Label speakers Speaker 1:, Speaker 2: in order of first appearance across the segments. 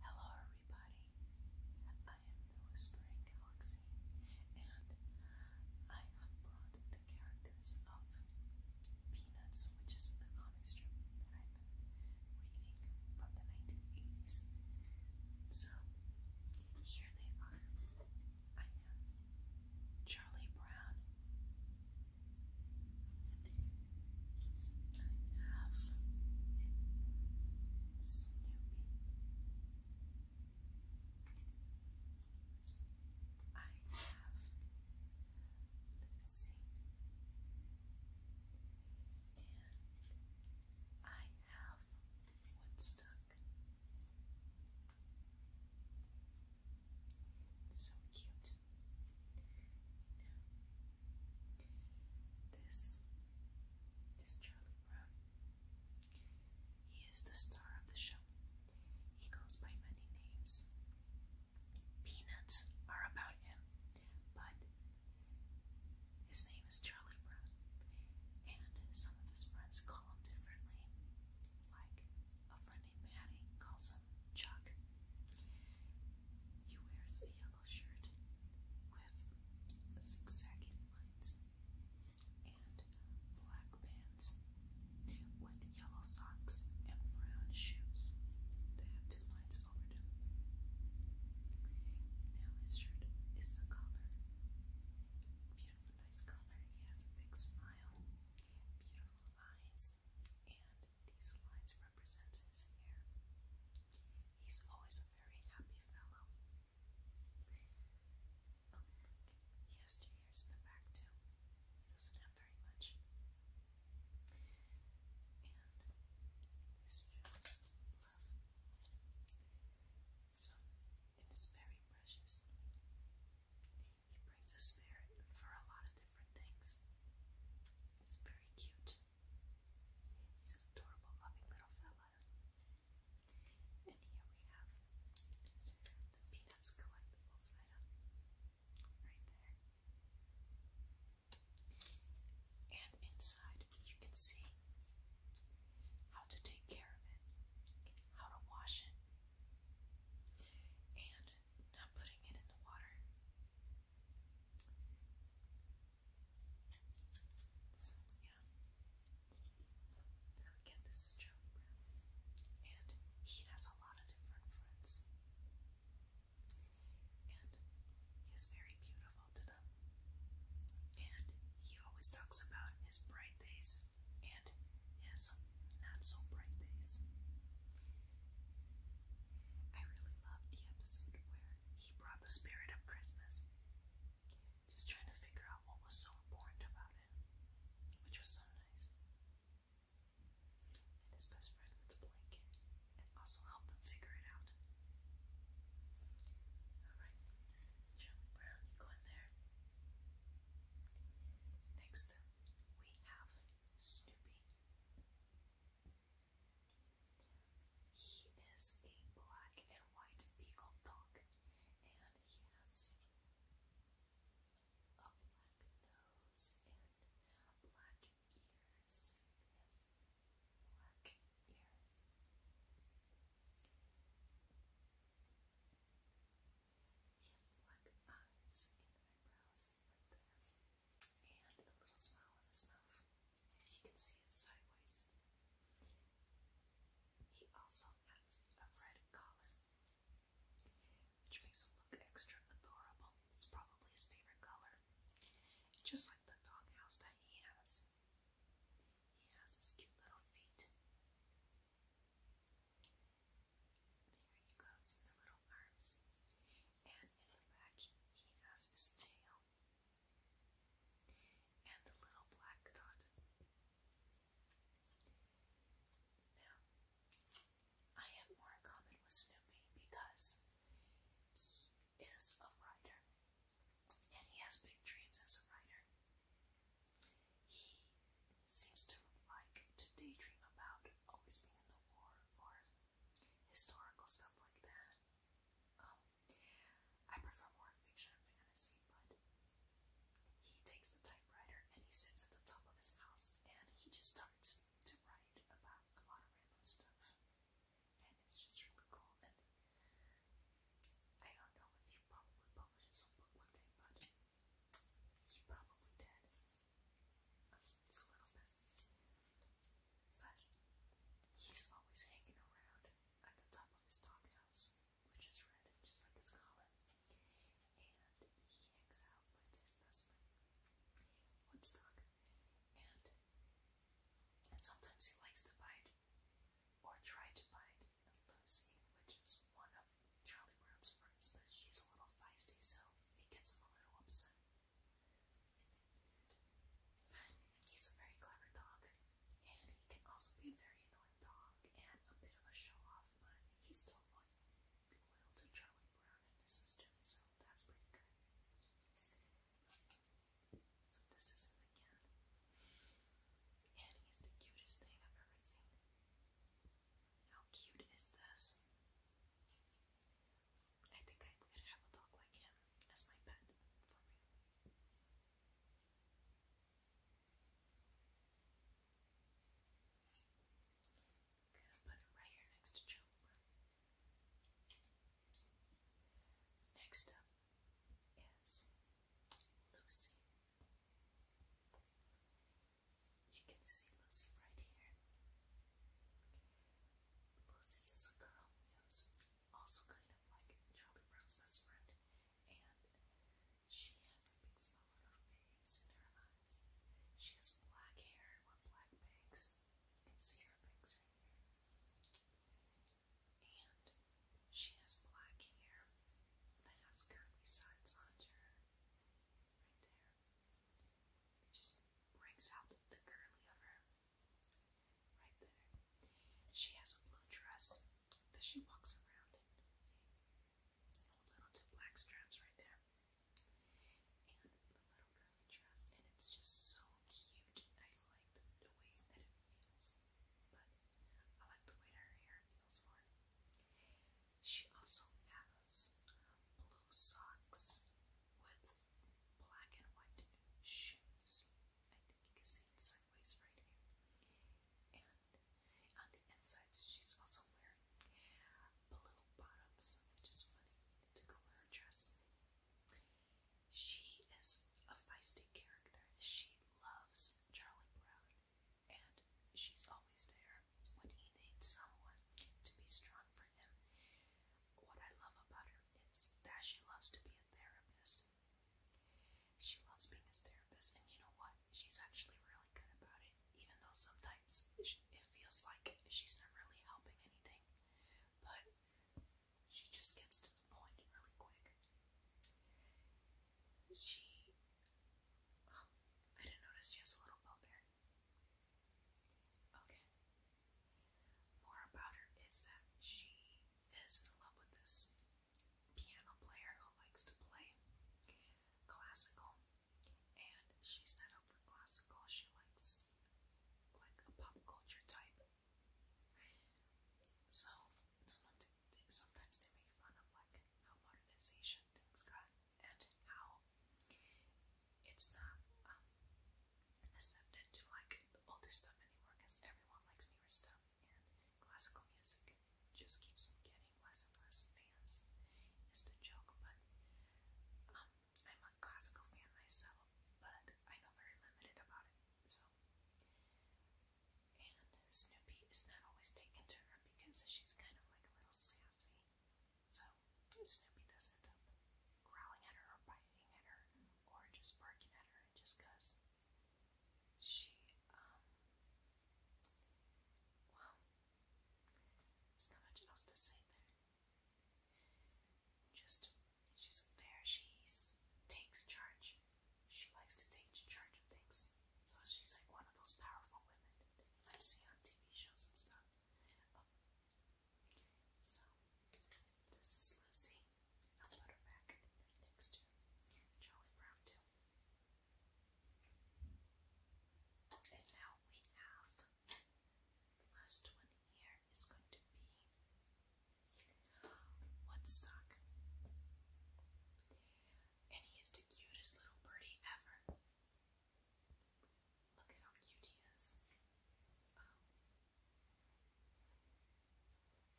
Speaker 1: Hello, everybody. I am the Whispering Galaxy, and I have brought the characters of Peanuts, which is the comic strip that I've reading from the 1980s. So, here they are. I have Charlie Brown have Snoopy. I have Lucy. And I have Woodstock. So cute. This is Charlie Brown. He is the star of the show. He goes by many names. Peanuts are about him, but his name is Charlie Brown, and some of his friends call him differently. Like a friend named Patty calls him Chuck, he wears a yellow shirt with zigzagging lines and black pants with yellow socks and brown shoes that have two lines over them. Now his shirt is a color, Beautiful, nice collar. He has a big smile, beautiful eyes, and these lines represents his hair. He's always a very happy fellow. he has two ears in the back too. doesn't have very much. And this shows So it is very precious. He brings a spirit for a lot of different things. It's very cute. He's an adorable, loving little fella. And here we have the Peanuts collectibles right there. And inside you can see how to take care of it, how to wash it, and not putting it in the water, so, yeah. again, this is Charlie and he has a lot of different friends, and he's very beautiful to them. And he always talks about his bright days and his not so bright days. I really loved the episode where he brought the spirit of Christmas. Just trying to figure out what was so important about it, which was so nice. And his best friend with the blanket, and also helped them figure it out. Alright, Charlie Brown, you go in there. Next we have Snoopy. He is a black and white beagle dog, and he has a black nose and black ears. He has black ears. He has black eyes and eyebrows and a little smile in his mouth. You can see it sideways. He also has a red collar, which makes him look extra adorable. It's probably his favorite color. Just like the doghouse that he has. He has his cute little feet. There he goes in the little arms. And in the back, he has his tail. And the little black dot. Now, I have more in common with Snoopy because he is a writer. And he has big dreams as a writer. He seems to like to daydream about always being in the war or historical stuff like that. Um, I prefer more fiction and fantasy, but he takes the typewriter and he sits at the top of his house and he just starts to write about a lot of random stuff. And it's just really cool. And I don't know if he probably publishes a book one day, but he probably did. It's a little bit. But he's always hanging around at the top of his doghouse, which is red, just like his collar. And he hangs out with his best friend, Woodstock. And sometimes he likes to bite, or try to bite, Lucy, which is one of Charlie Brown's friends, but he's a little feisty, so it gets him a little upset. But he's a very clever dog, and he can also be a very annoying dog and a bit of a show off, but he's still loyal, loyal to Charlie Brown and his sister, so that's pretty good. So this is him again. And he's the cutest thing I've ever seen. How cute is this? I think I would have a dog like him as my pet gonna put it right here next to Job. Next up is Lucy. You can see Lucy right here. Lucy is a girl who's also kind of like Charlie Brown's best friend, and she has a big smile on her face and her eyes. She has black hair with black bangs. You can see her bangs right here. And she has black hair that has curly sides onto her right there. It just brings out the, the of her right there. She has a blue dress that she walks around in. little two black straps right there. And the little curly dress, and it's just so cute. I like the, way that it feels, but I like the way her hair feels more. She also has blue socks with black and white shoes. I think you can see it sideways right here. And on the insides, she's also wearing blue bottoms, which is funny to go with her dress. She is a feisty character. She loves Charlie Brown and she's always there when he needs someone to be strong for him. What I love about her is that she loves to be a therapist. She loves being his therapist, and you know what? She's actually really good about it, even though sometimes it feels like she's not really helping anything. But she just gets to the point really quick. She I didn't notice she has a little belt there. Okay. More about her is that she is in love with this piano player who likes to play classical, and she's not up for classical. She likes like a pop culture type. So sometimes they make fun of like how modernization things got and how it's not um, accepted to like the older stuff anymore because everyone likes newer stuff and classical music just keeps getting less and less fans. It's the joke, but um, I'm a classical fan myself, but I know very limited about it, so and Snoopy is not always taken to her because she's kind of like a little sassy. So Snoopy does end up growling at her or biting at her or just barking at her just because she, um, well, there's not much else to say there. Just, she's there, she takes charge. She likes to take charge of things. So she's like one of those powerful women Let's see on TV shows and stuff. So this is Lucy. I'll put her back next to Charlie Brown too. And now we have the last one here is going to be Woodstock and he is the cutest little birdie ever. Look at how cute he is. Um,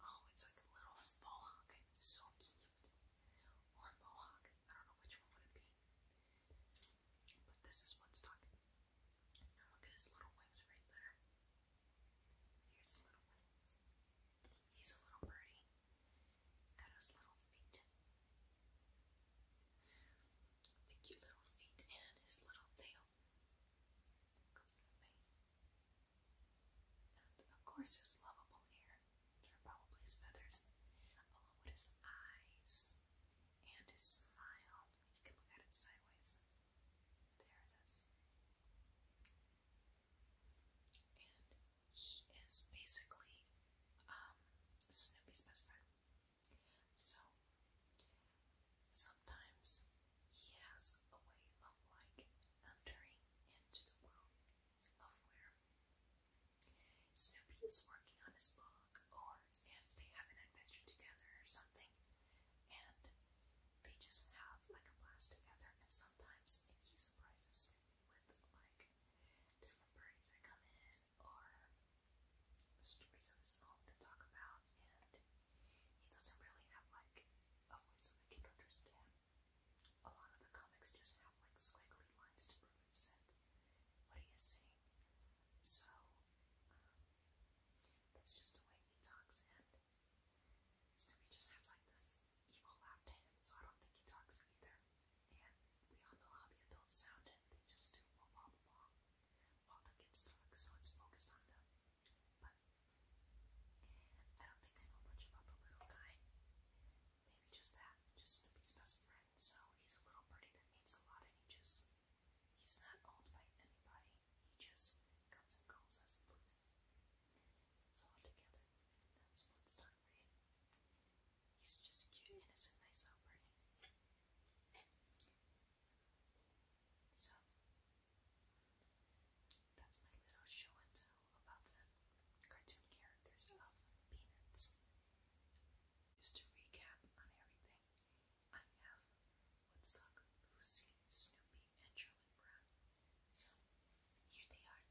Speaker 1: oh, it's like a little mohawk. It's so cute. Or mohawk. I don't know which one would it be. But this is what's talking. Now look at his little wings right there. Here's the little wings. He's a little birdie his little feet. The cute little feet and his little tail. of course his lovable hair. they probably his feathers. Along with his eyes and his smile. You can look at it sideways. There it is he is basically um, Snoopy's best friend. So sometimes he has a way of like entering into the world of where Snoopy is working on his book, or if they have an adventure together or something, and they just have like a blast together. And sometimes he surprises with like different parties that come in or stories of to talk about and he doesn't really have like a voice that we can understand. A lot of the comics just have like squiggly lines to represent what he saying. So um, that's just the way he talks and Snoopy just has like this evil laughed at him, so I don't think he talks either. And we all know how the adults sound, and they just do blah blah blah while the kids talk, so it's focused on them. But I don't think I know much about the little guy. Maybe just that, just Snoopy's best friend. So he's a little birdie that means a lot, and he just he's not owned by anybody. He just comes and calls us and pleases. It's all That's what's He's just cute, innocent, nice operating. So, that's my little show and tell about the cartoon characters of Peanuts. Just to recap on everything, I have Woodstock, Lucy, Snoopy, and Charlie. So, here they are.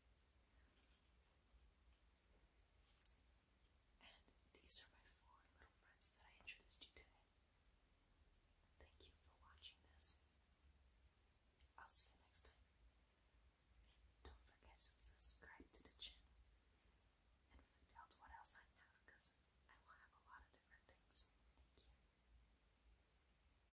Speaker 1: And these are my four little friends that I introduced you today. Thank you for watching this. I'll see you next time. Don't forget to subscribe to the channel and find out what else I have because I will have a lot of different things. Thank you.